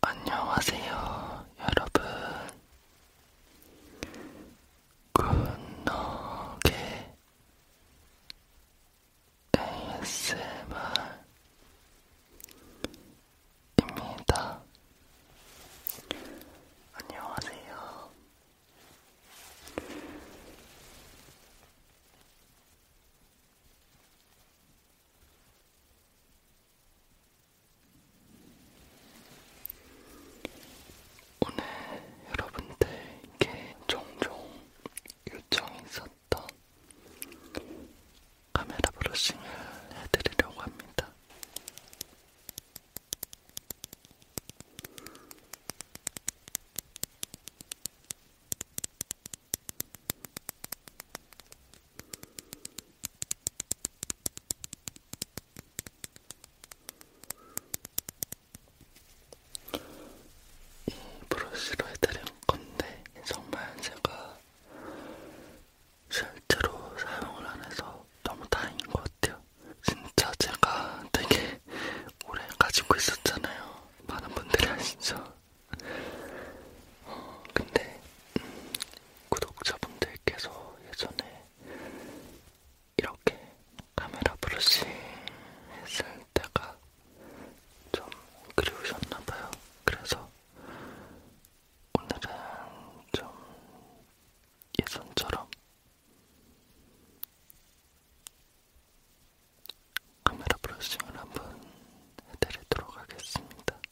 안녕하세요, 여러분. 굿노게 ASMR입니다. 안녕하세요. 오늘 여러분들께 종종 요청이 있었던 카메라 브러싱을 해드리려고 합니다. 이 브러쉬로 해드린 건데 정말 제가 실제로 사용을 안 해서 너무 다행인 것 같아요. 진짜 제가 되게 오래 가지고 있었잖아요. 많은 분들이 아시죠? 어, 근데 음, 구독자분들께서 예전에 이렇게 카메라 브러싱 했을 때가 좀 그리우셨나봐요. 그래서 오늘은 좀 예전처럼 카메라 브러싱을 한번 해드리도록 하겠습니다.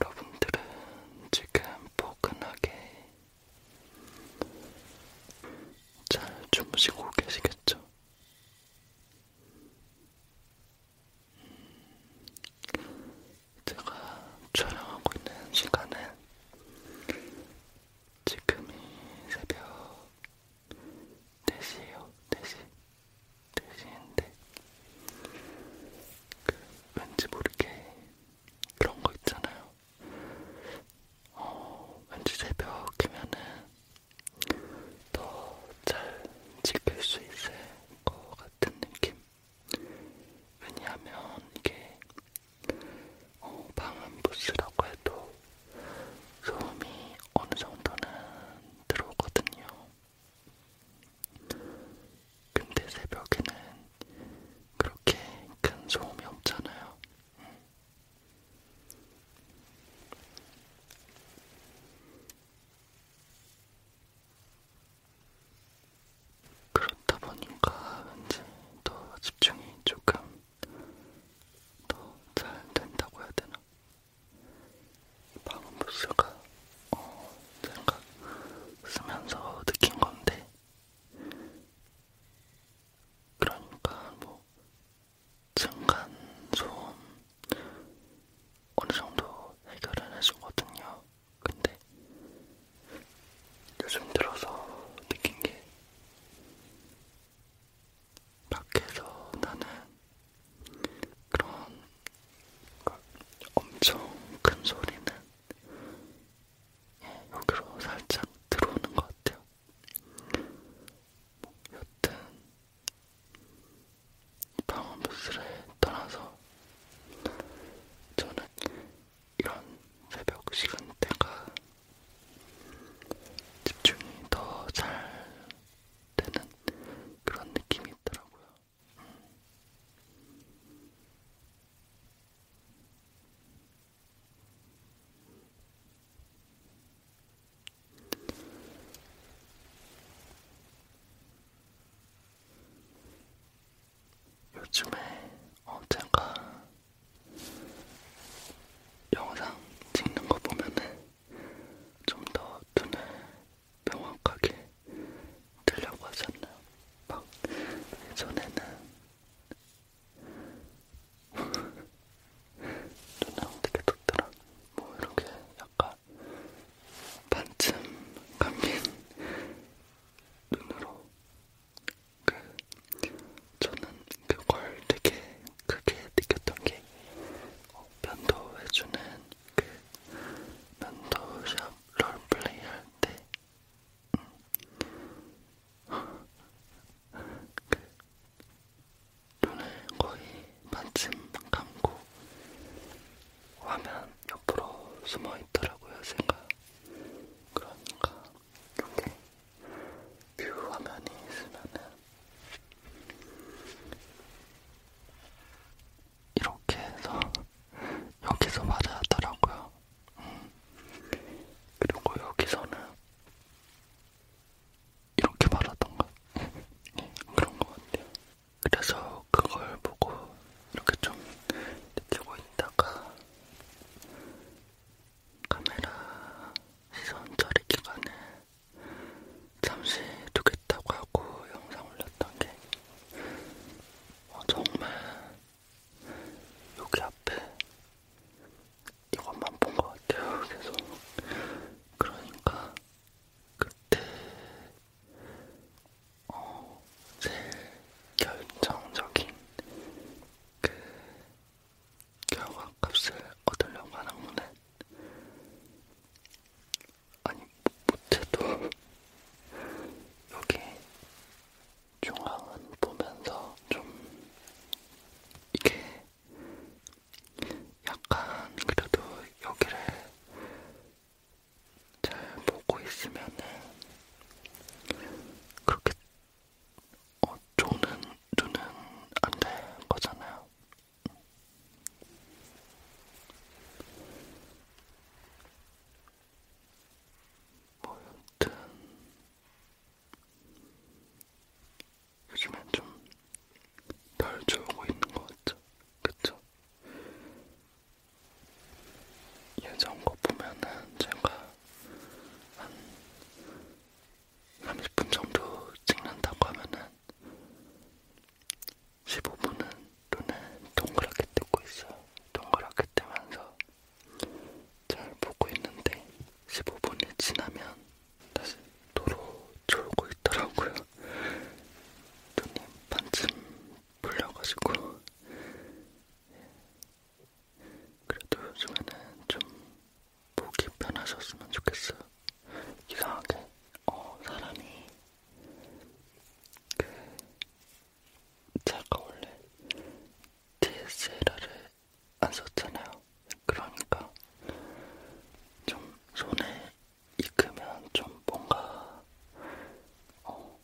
여러분들은 지금 포근하게 잘 주무시고 계시겠죠? 음, 제가 촬영하고 있는 시간은 지금이 새벽 돼지예요, 돼지. 돼지인데 그 왠지 모르게 그런 거 있잖아요. 어, 왠지 새벽이면은 더 잘 지킬 수 있을 것 같은 느낌. 왜냐하면 이게 어, 방음부스라고 해도 소음이 어느 정도는 들어오거든요. 근데 새벽에는 그렇게 큰 소음이 없잖아요. 그렇다 보니까 왠지 더 집중이 조금 더 잘 된다고 해야 되나? 방음부스가 어, 제가 쓰면서 느낀 건데 그러니까 뭐 층간 소음 어느 정도 해결을 해주거든요. 근데 요즘 들어서 느낀 게 밖에서 나는 그런 엄청 큰 소리는 예, 여기로 살짝 들어오는 것 같아요. 뭐 여튼 방음부스를 떠나서 저는 이런 새벽 시간대가 집중이 더 잘 되는 그런 느낌이 있더라고요. 음. 요즘에 언젠가 어, 영상 찍는 거 보면은 좀더 눈을 명확하게 뜨려고 하지 않나요? 막 예전에는 눈에 어떻게 떴더라? 뭐 이렇게 약간 반쯤 감긴 눈으로 그 저는 그걸 되게 크게 느꼈던 게 어, 면도해주는 그 면도샵 롤플레이 할때 음. 그 눈을 거의 마침 감고 화면 옆으로 숨어있더라고요 제가 그러니까 이렇게 뷰 그 화면이 있으면은 이렇게 해서 여기서 말을 하더라고요. 음. 그리고 여기서는 이렇게 말하던가 네, 그런 것 같아요. 그래서 그걸 보고 이렇게 좀 느끼고 있다가 카메라 시선 처리 기간에 잠시 두겠다고 하고 영상 올렸던 게 어, 정말 여기 앞에 이것만 본 것 같아요. 계속 그러니까 그때 어, 제일 결정적인 그 결과값을 얻으려고 하는 거는 아니 못해도 여기 중앙은 보면서 좀 이게 약간 그래도 여기를 잘 보고 있으면은 그렇게 어, 조는, 조는 안될 거잖아요. 뭐 여튼 요즘엔 좀덜 좋고 있는 것 같죠? 그쵸? 예전 거 보면은 제가 한 30분 정도 찍는다고 하면은 15분은 눈을 동그랗게 뜨고 있어요. 동그랗게 뜨면서 잘 보고 있는데 15분이 지나면 다시 도로 졸고 있더라고요. 눈이 반쯤 불려가지고 그래도 요즘에는 좀 보기 편하셨으면 좋겠어요. 이상하게 어, 사람이 그 제가 원래 DSLR을 안 썼잖아요. 그러니까 좀 손에 익으면 좀 뭔가 어,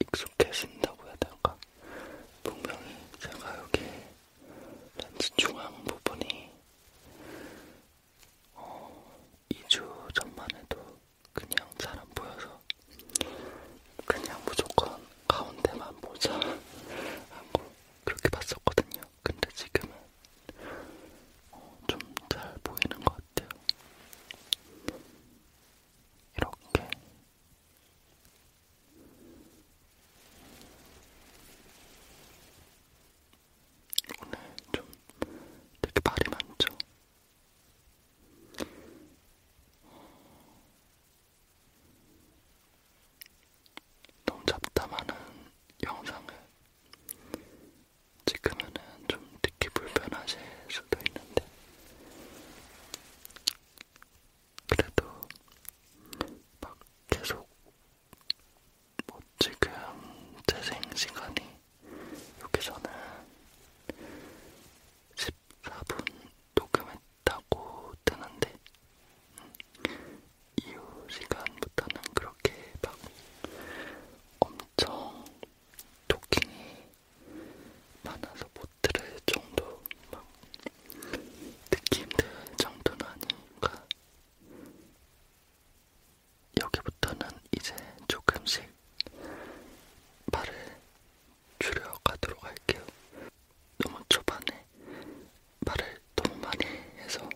익숙해진다고 해야 될까? 분명히 제가 여기 렌즈 중앙 부분이 어, 2주 전만 해도 그냥 잘 안 보여서 그냥 무조건 가운데만 보자 하고 그렇게 봤었거든요. 근데 지금은 어, 좀잘 보이는 것 같아요. 이렇게 오늘 좀 되게 말이 많죠? 너무 잡담하는 영상을 찍으면 좀 듣기 불편하실 수도 있는데 그래도 막 계속 뭐 지금 재생 시간이 여기서는 14분 녹음했다고 뜨는데 음, 이후 시간부터는 그렇게 막 엄청 토킹이 많아서 못 들을 정도 막 듣기 힘들 정도는 아니니까 여기부터는 이제 조금씩 말을 줄여가도록 할게요. 너무 초반에 말을 너무 많이 해서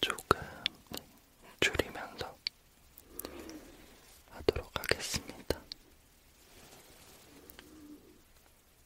조금 줄이면서 하도록 하겠습니다.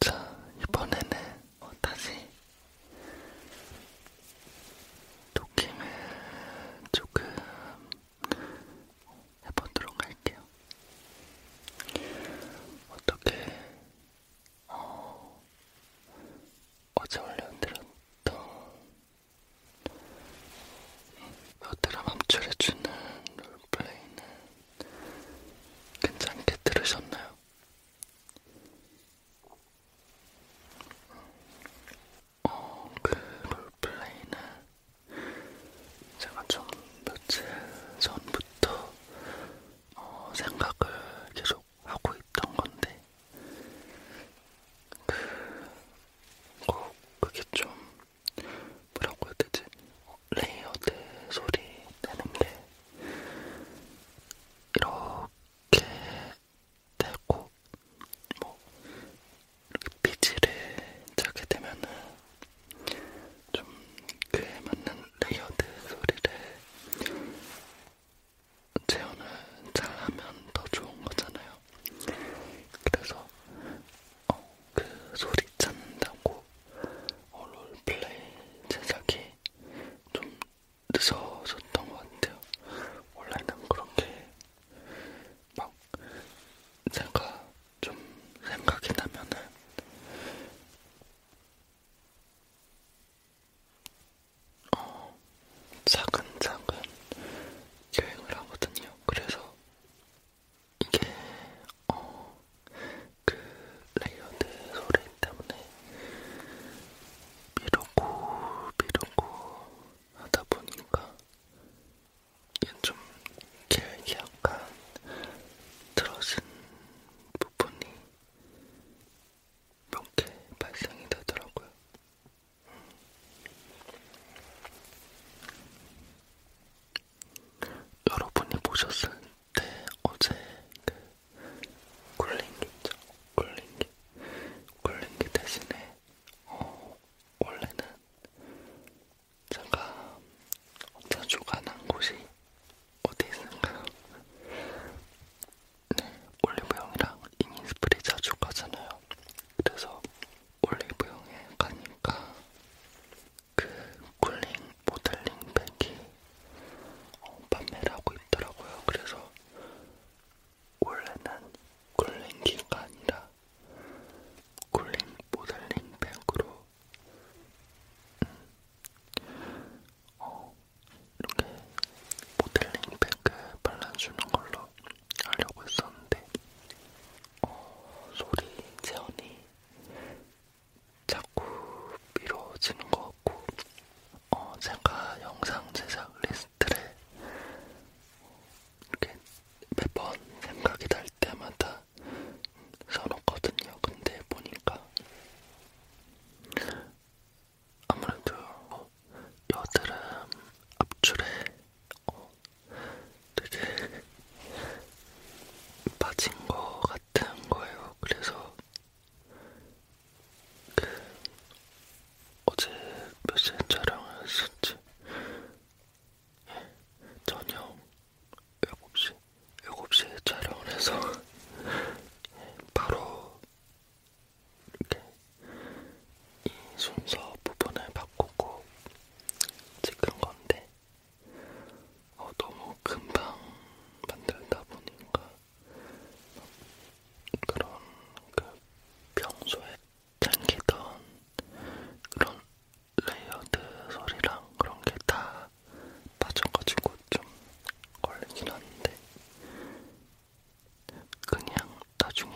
자, 이번에는 어, 다시 느낌을 조금 해보도록 할게요. 어떻게 어, 어제 올려드렸던 여드름 암출해주는 롤플레이는 괜찮게 들으셨나요? 어, 그 롤플레이는 제가 좀 며칠 전부터 어, 생각을 계속 하고 있던 건데 그, 꼭 그게 좀 뭐라고 해야 되지? 레이어드 소리 되는 게 이렇게 되고 뭐 이렇게 피지를 짜게 되면은 좀 그에 맞는 레이어드 소리를 재현을 잘하면 더 좋은 거잖아요. 그래서 어, 그 소리 찾는다고 어, 롤플레이 제작이 좀 늦어졌던 것 같아요. 원래는 그렇게 막 제가 좀 생각이 나면은 어, 차근차근 여행을 하거든요. 그래서 이게 어, 그 레이어드 소리 때문에 미루고 미루고 하다 보니까 얘는 좀 길게 약간 들어진 부분이 몇 개 발생이 되더라고요. 음. 여러분이 보셨을 때 어제 그 굴링기 있죠? 굴링기. 굴링기 대신에 어, 원래는 제가 자주 가는 곳이 어디 있을까요? 네, 올리브영이랑 이니스프리 자주 가잖아요. 그래서 올리브영에 가니까 그 쿨링 모델링 백이 어, 판매를 하고 있더라고요. 그래서 원래는 쿨링기가 아니라 쿨링 모델링 백으로 어, 이렇게 모델링 팩을 발라주는 걸로 하려고 했었는데 어, 소리 재현이 자꾸 미뤄지는 것 같고 어, 제가 영상 제작 리스트를 이렇게 매번 생각이 날 때마다 써놓거든요. 근데 보니까 아무래도 여드름 압출에 어, 되게 빠진 거 같은 거예요. 그래서 그 어제 몇 시에 촬영을 했었지? 예, 저녁 7시, 7시에 촬영을 해서 바로 이렇게 이 순서 부분을 바꾸고 찍은 건데 어, 너무 금방 만들다 보니까 그런 그 평소에 당기던 그런 레이어드 소리랑 그런 게 다 빠져가지고 좀 걸리긴 한데 그냥 나중에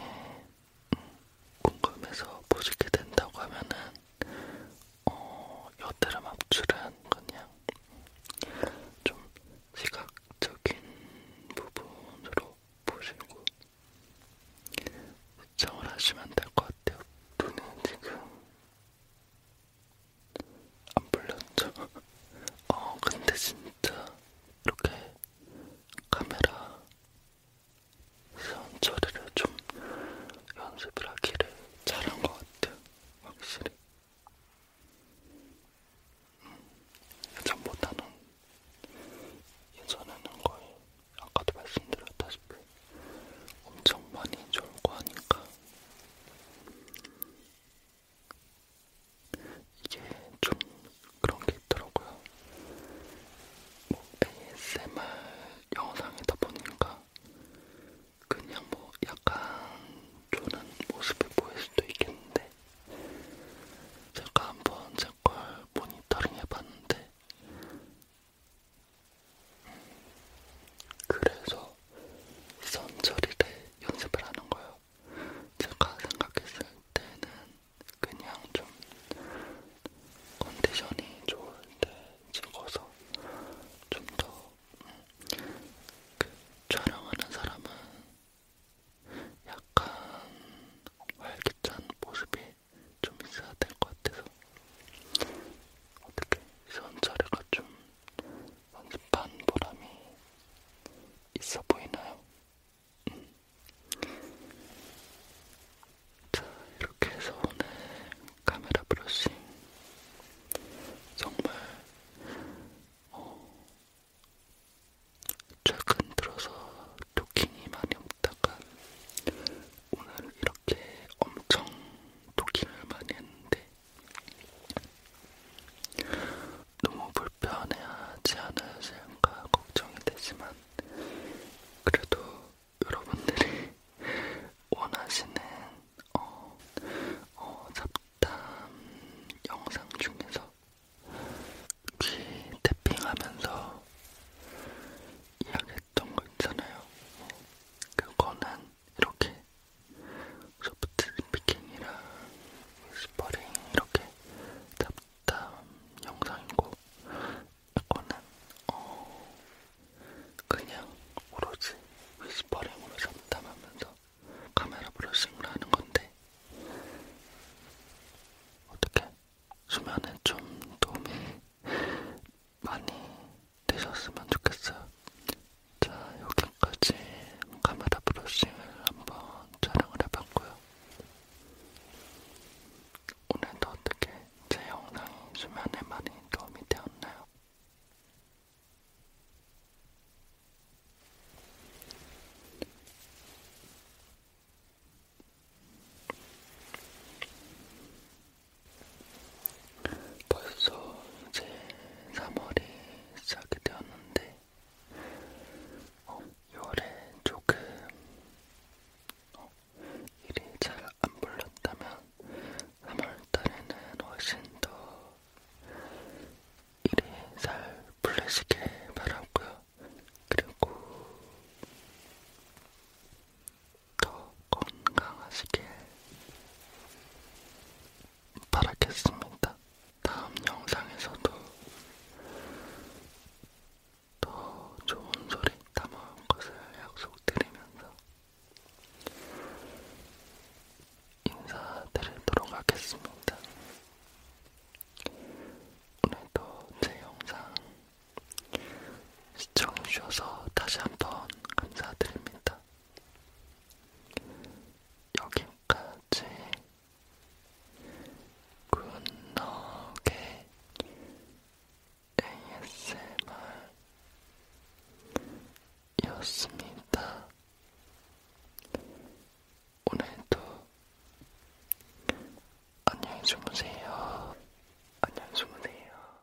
음, 궁금해서 보시게 된다고 하면은 어, 여드름 압출은 그냥 좀 시각적인 부분으로 보시고 시청을 하시면 될 것 같아요. 눈은 지금 안 풀렸죠? 어, 근데 진짜 이렇게 카메라 선 처리를 좀 연습을 하기를 잘한 것 같아, 확실히. 음, 예전보다는 예전에는 거의 아까도 말씀드렸다시피 엄청 많이 졸고 하니까 이게 좀 그런 게 있더라고요. 뭐 ASMR 영상이다 보니까 그냥 뭐 약간 조는 모습이 보일 수도 있겠는데 제가 한번 제 걸 모니터링 해봤는데 그래서 선처리를 연습을 하는 거예요. 제가 생각했을 때는 그냥 좀 컨디션이 좋을 때 찍어서 좀더 그 촬영하는 사람은 약간 활기찬 모습이 좀 있어야 될 것 같아서 어떻게 시험 자료가 좀 연습한 보람이 있어 보이나요? 음. 자, 이렇게 해서 오늘 카메라 브러싱 정말 어, 최근 들어서 토킹이 많이 없다가 오늘 이렇게 엄청 토킹을 많이 했는데 너무 불편해하지 않으실까 걱정이 되지만 그래도 여러분들이 원하시는 어, 어, 잡담 영상 중에서 귀 태핑하면서 이야기 있던 거 있잖아요. 그거는 이렇게 소프트 스피킹이랑 스퍼링 이렇게 답답 영상이고 이거는 어 그냥 오로지 위스퍼링으로 잡담하면서 카메라 브러싱을 하는 건데 어떻게 수면에 좀 도움이 많이 드셨으면 좋겠어요. 자, 여기까지 카메라 브러싱을 한번 촬영을 해봤고요. 오늘도 어떻게 제 영상이 수면에 많이 도움이 되었나요? 벌써 이제 3월이 시작이 되었는데, 어, 6월에 조금 어, 일이 잘 안 불렀다면 3월달에는 훨씬 더 일이 잘 풀리시길 바라고요. 그리고 더 건강하시길 바라겠습니다. 다음 영상에서도 더 좋은 소리 담아올 것을 약속드리면서 인사드리도록 하겠습니다. 오늘도 제 영상 시청해주셔서 다시 한 번 감사드립니다. 여기까지 굿너겟 ASMR이었습니다. 오늘도 안녕히 주무세요. 안녕히 주무세요.